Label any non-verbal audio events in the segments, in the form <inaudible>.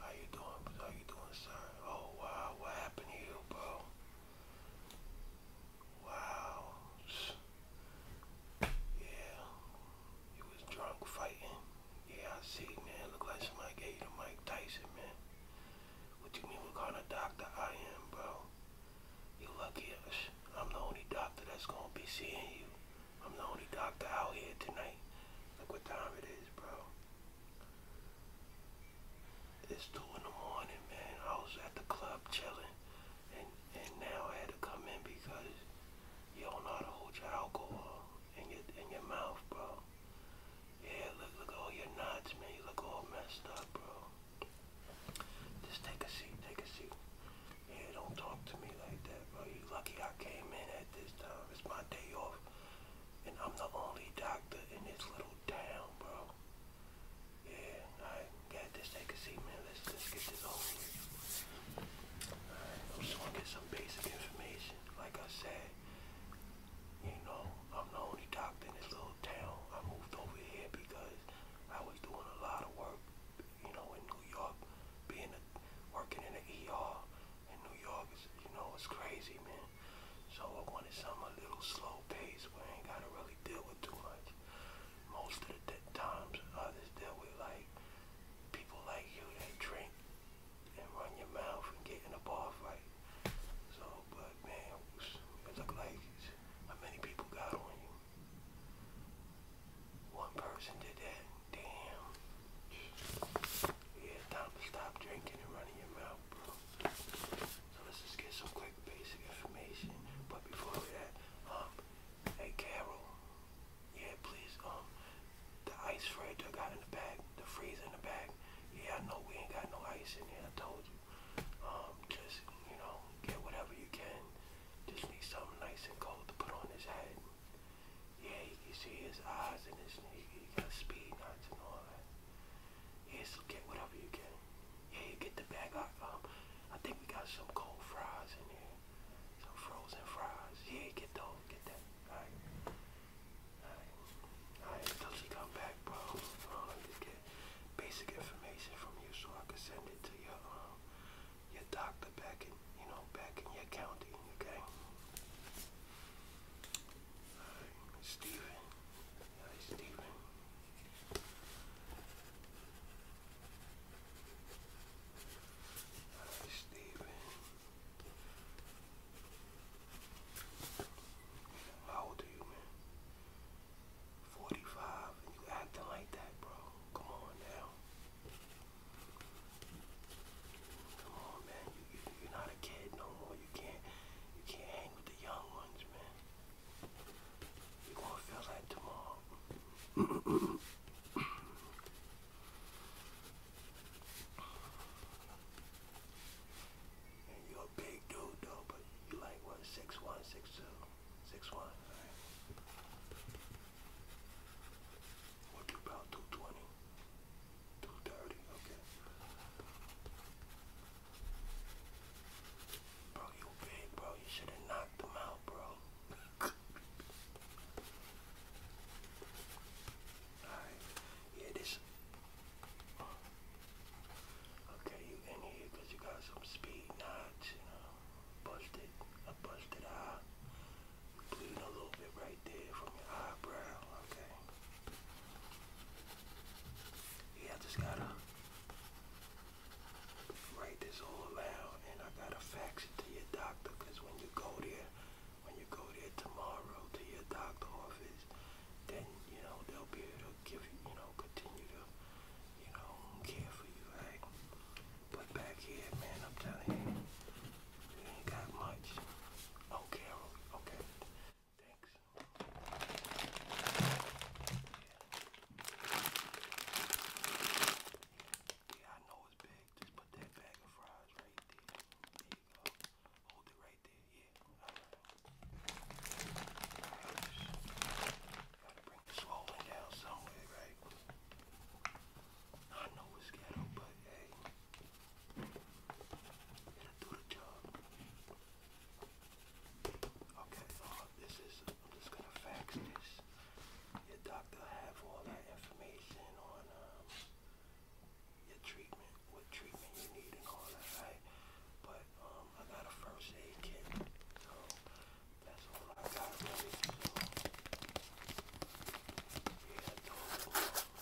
How you doing? How you doing, sir? Oh wow, what happened to you, bro? Wow. Yeah. You was drunk fighting. Yeah, I see, man. Look like somebody gave you the Mike Tyson, man. What you mean what kind of doctor I am, bro? You lucky I'm the only doctor that's gonna be seeing you. I'm the only doctor out here tonight. Look what time it is, bro. It's two in the morning, man. I was at the club chilling, and and now I had to come in because you don't know how to hold your alcohol in your in your mouth, bro. Yeah, look look all your knots, man. You look all messed up, bro. Just take a seat, take a seat. Yeah, don't talk to me like that, bro. You lucky I came in at this time. It's my day off. And I'm the only doctor in this little town, bro. Yeah, I got this, take a seat, man. Let's, let's get this over with. Alright, I just want to get some basic information. Like I said, you know, I'm the only doctor in this little town. I moved over here because I was doing a lot of work, you know, in New York, being a, working in the ER in New York is, you know, it's crazy, man. So I wanted something a little slow paced where I ain't gotta really deal with too much. Most of the times others deal with like people like you that drink and run your mouth and get in a bar fight. So, but man, it, was, it looked like how many people got on you. One person did that. Damn. Yeah, time to stop drinking and running your mouth, bro. So let's just get some quick basic information. But before we that, um, hey Carol, yeah, please, um, the ice fridge I got in the bag, the freezer in the bag. Yeah, I know we ain't got no ice in here. I told you. Um, just you know, get whatever you can. Just need something nice and cold to put on his head. Yeah, you can see his eyes and his he, he got speed knots and all that. Yeah, so get whatever you get. Yeah, you get the bag. I, um, I think we got some cold fries in here. Some frozen fries. Yeah, get those. Get that. Alright. Alright. Alright, until she come back, bro. Um, just get basic information from you so I can send it to your, um, your doctor back in, you know, back in your county, okay? Hi, Steven. Hi, Steven. Hi, Steven. How old are you, man? 45 and you acting like that, bro. Come on now. Come on, man. You, are not a kid no more. You can't you can't hang with the young ones, man. You're gonna feel that tomorrow. <coughs> you're a big dude though, but you like what, six one, six two, six one, What about two twenty? Too okay. Bro, you big, bro. You should have knocked them out, bro. <laughs> Alright, yeah, this. Okay, you in here you got some speed knots, you know. Busted, a busted eye. Bleeding a little bit right there from your eyebrow, okay. Yeah, I just gotta write this all out and I gotta fax it to your doctor because when you go there, when you go there tomorrow to your doctor office, then, you know, they'll be able to give you, you know, continue to, you know, care for you, But back here, man, I'm telling you, you ain't got much. Oh, okay. Thanks. Yeah. I know it's big. Just put that bag of fries right there. There you go. Hold it right there. Yeah. Gotta bring the swollen down somewhere, right? I know it's ghetto, but hey. It'll do the job. Okay, uh, this is, I'm just going to fax this. Your doctor have all that information on um, your treatment, what treatment you need and all that, right? But um, I got a first aid kit, so that's all I got Oh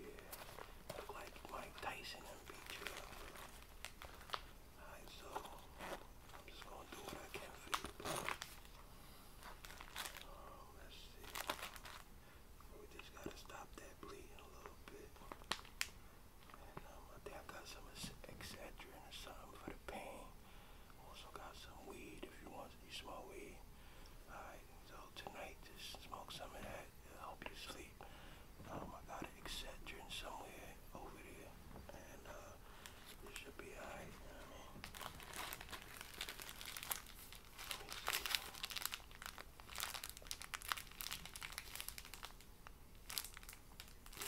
yeah, look like Mike Tyson and beat you up. Alright, so I'm just gonna do what I can for you. Um, let's see. We just gotta stop that bleeding a little bit. And um, I think I got some Excedrin or something for the pain. Also got some weed if you want. You smoke weed. Alright, so tonight just smoke some of that. it help you sleep. Um, I got Excedrin somewhere over there. And uh, this should be alright. You no, no, no.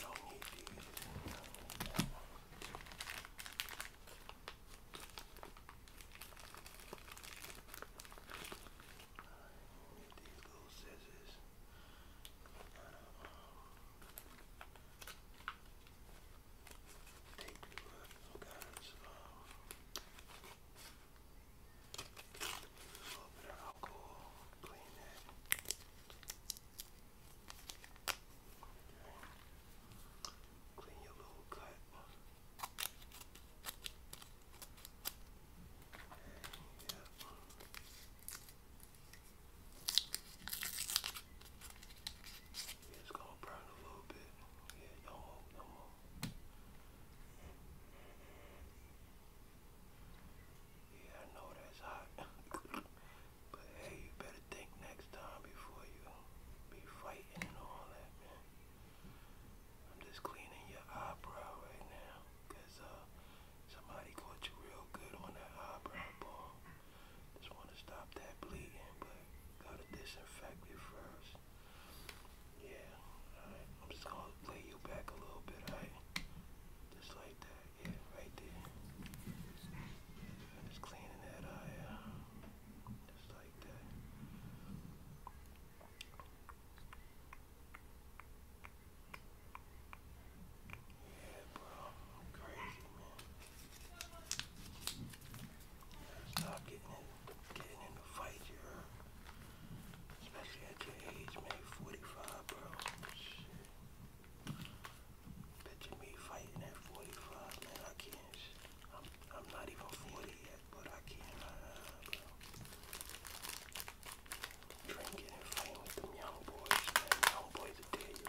Alright, these little scissors. Gotta, um, take the look. Okay, so, um, a little clean it. Clean your little cut. it's gonna burn a little bit. no no more. Yeah, I know that's hot. <laughs> but hey, you better think next time before you be fighting and all that, man. I'm just cleaning your eyebrow right now. Cause uh somebody caught you real good on that eyebrow ball. Just wanna stop that bleeding, but gotta disinfect it first. Yeah, alright. I'm just gonna lay you back a little bit, alright? Just like that, yeah, right there. just cleaning that eye Just like that. Yeah, bro. crazy, man. Stop getting in, getting in the fight, you Especially at your age, man, 45, bro. Picture me fighting at 45, man, I can't. I'm, I'm not even 40 yet, but I can't, Drinking and fighting with them young boys, Young boys will tear you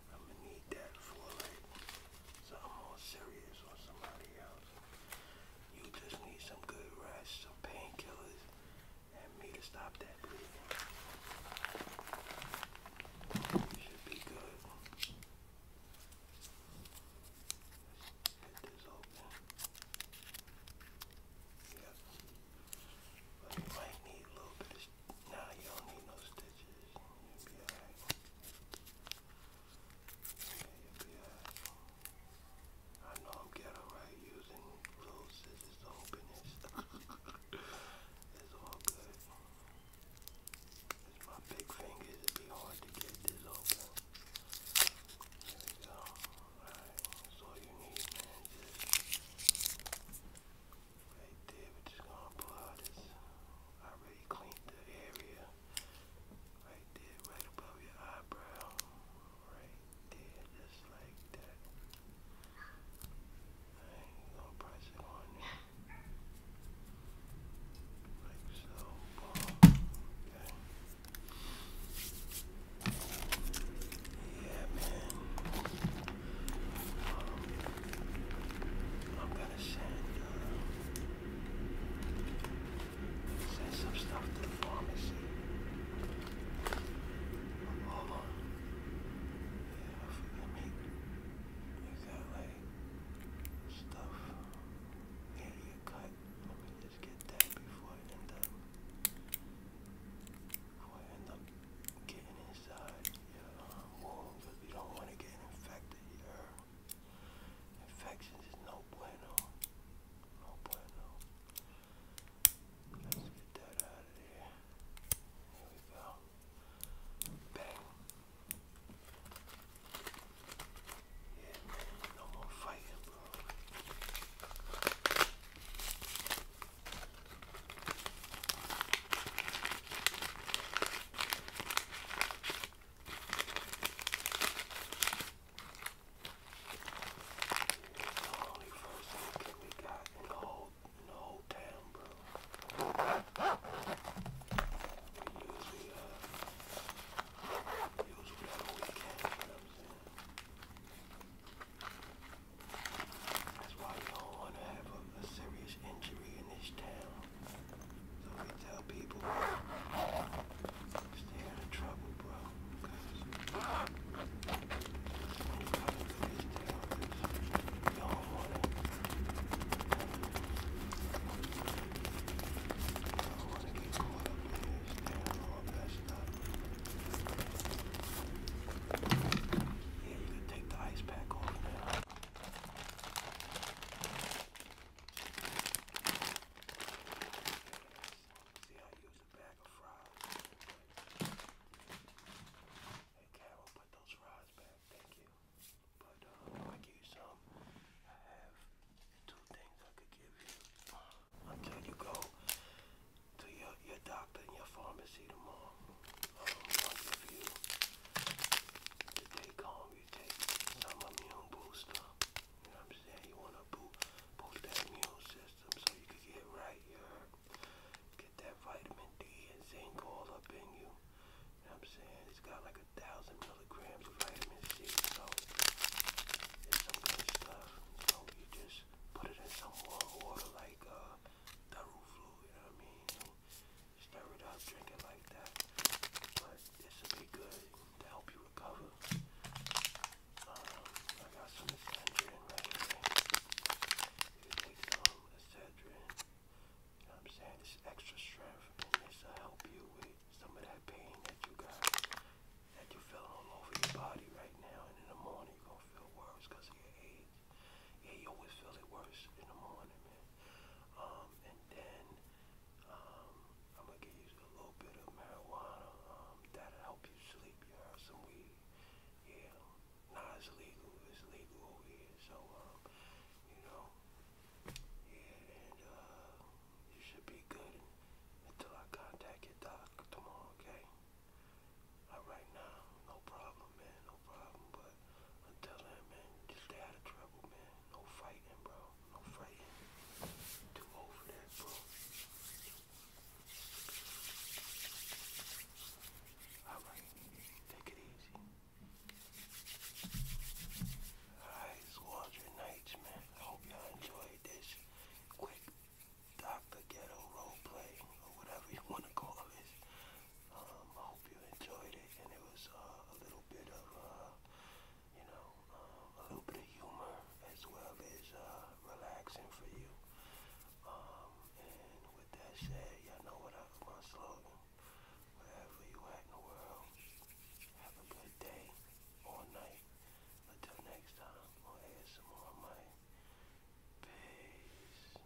I'm gonna need that for like something more serious or somebody else. You just need some good rest, some painkillers, and me to stop that bleeding. should be good. get this open. Yep. But you might need a little bit of now you don't need no stitches. you be alright. I know I'm ghetto right using little scissors to open this. it's all good. It's my big fingers. It'd be hard to get this open. There we go. Alright, that's all you need, man. Just Right there, we're just gonna pull out this. I already cleaned the area. Right there, right above your eyebrow. Right there, just like that. Alright, you gonna press it on there. Like so, Okay. Yeah, man. Um, I'm gonna send, uh, send some stuff to the pharmacy. Hold on. Yeah, let me make that like stuff nearly a cut. Let me just get that before I end up. I end up getting inside your um, wound don't want to get infected. infections is no bueno. No bueno. Let's get that out of there. Here we go. Bang. Yeah, man, no more fighting, bro. Holy first thing we got in the whole, in the whole town, bro. We usually, uh, use whatever we can, you know what I'm saying? That's why you don't want to have a a serious injury in this town. So we tell people, stay out of trouble, bro. Because when you don't want to. get caught up in this town all messed up. Yeah, you can take the ice pack off See, I used a bag of fries. Hey, Carol, put those fries back. Thank you. But um, I give some. I have two things I could give you until you go to your your doctor and your pharmacy tomorrow month you to take home. You take some immune booster. I'm saying? You want to boost, boost that immune system so you can get right here. Get that vitamin D and zinc all up in you. I'm saying? It's got like a thousand milligrams of vitamin C. So it's some good stuff. So you just put it in some warm water like uh, Daruflu, you I mean? stir it up, drink it like that. But it should be good to help you recover. Um, I got some Excedrin right here. Um, you take some Excedrin. I'm saying? this extra strength is gonna help you with some of that pain that you got, that you feel all over your body right now. And in the morning you're going to feel worse because of your age. Yeah, you always feel it worse in the morning, man. Um, and then um, I'm gonna give you a little bit of marijuana. Um, that'll help you sleep. You heard some weed. Yeah, nah, it's legal. It's legal over here. So, you know, yeah, and uh, you should be good until I contact your doc tomorrow, okay? All right now, no problem, man, no problem. But until then, man, just stay out of trouble, man. No fighting, bro. No fighting. Too old for bro. Alright, take it easy. Alright, Squadron Nights, man. I hope y'all enjoyed this quick Dr. Ghetto roleplay or whatever you want to call this. Um, I hope you enjoyed it, and it was uh, a little bit of, uh, you know, uh, a little bit of humor as well as relaxing for you. Um, and with that said, y'all know what I, my slogan. Wherever you at in the world, have a good day or night. Until next time on ASMR Mike. Peace.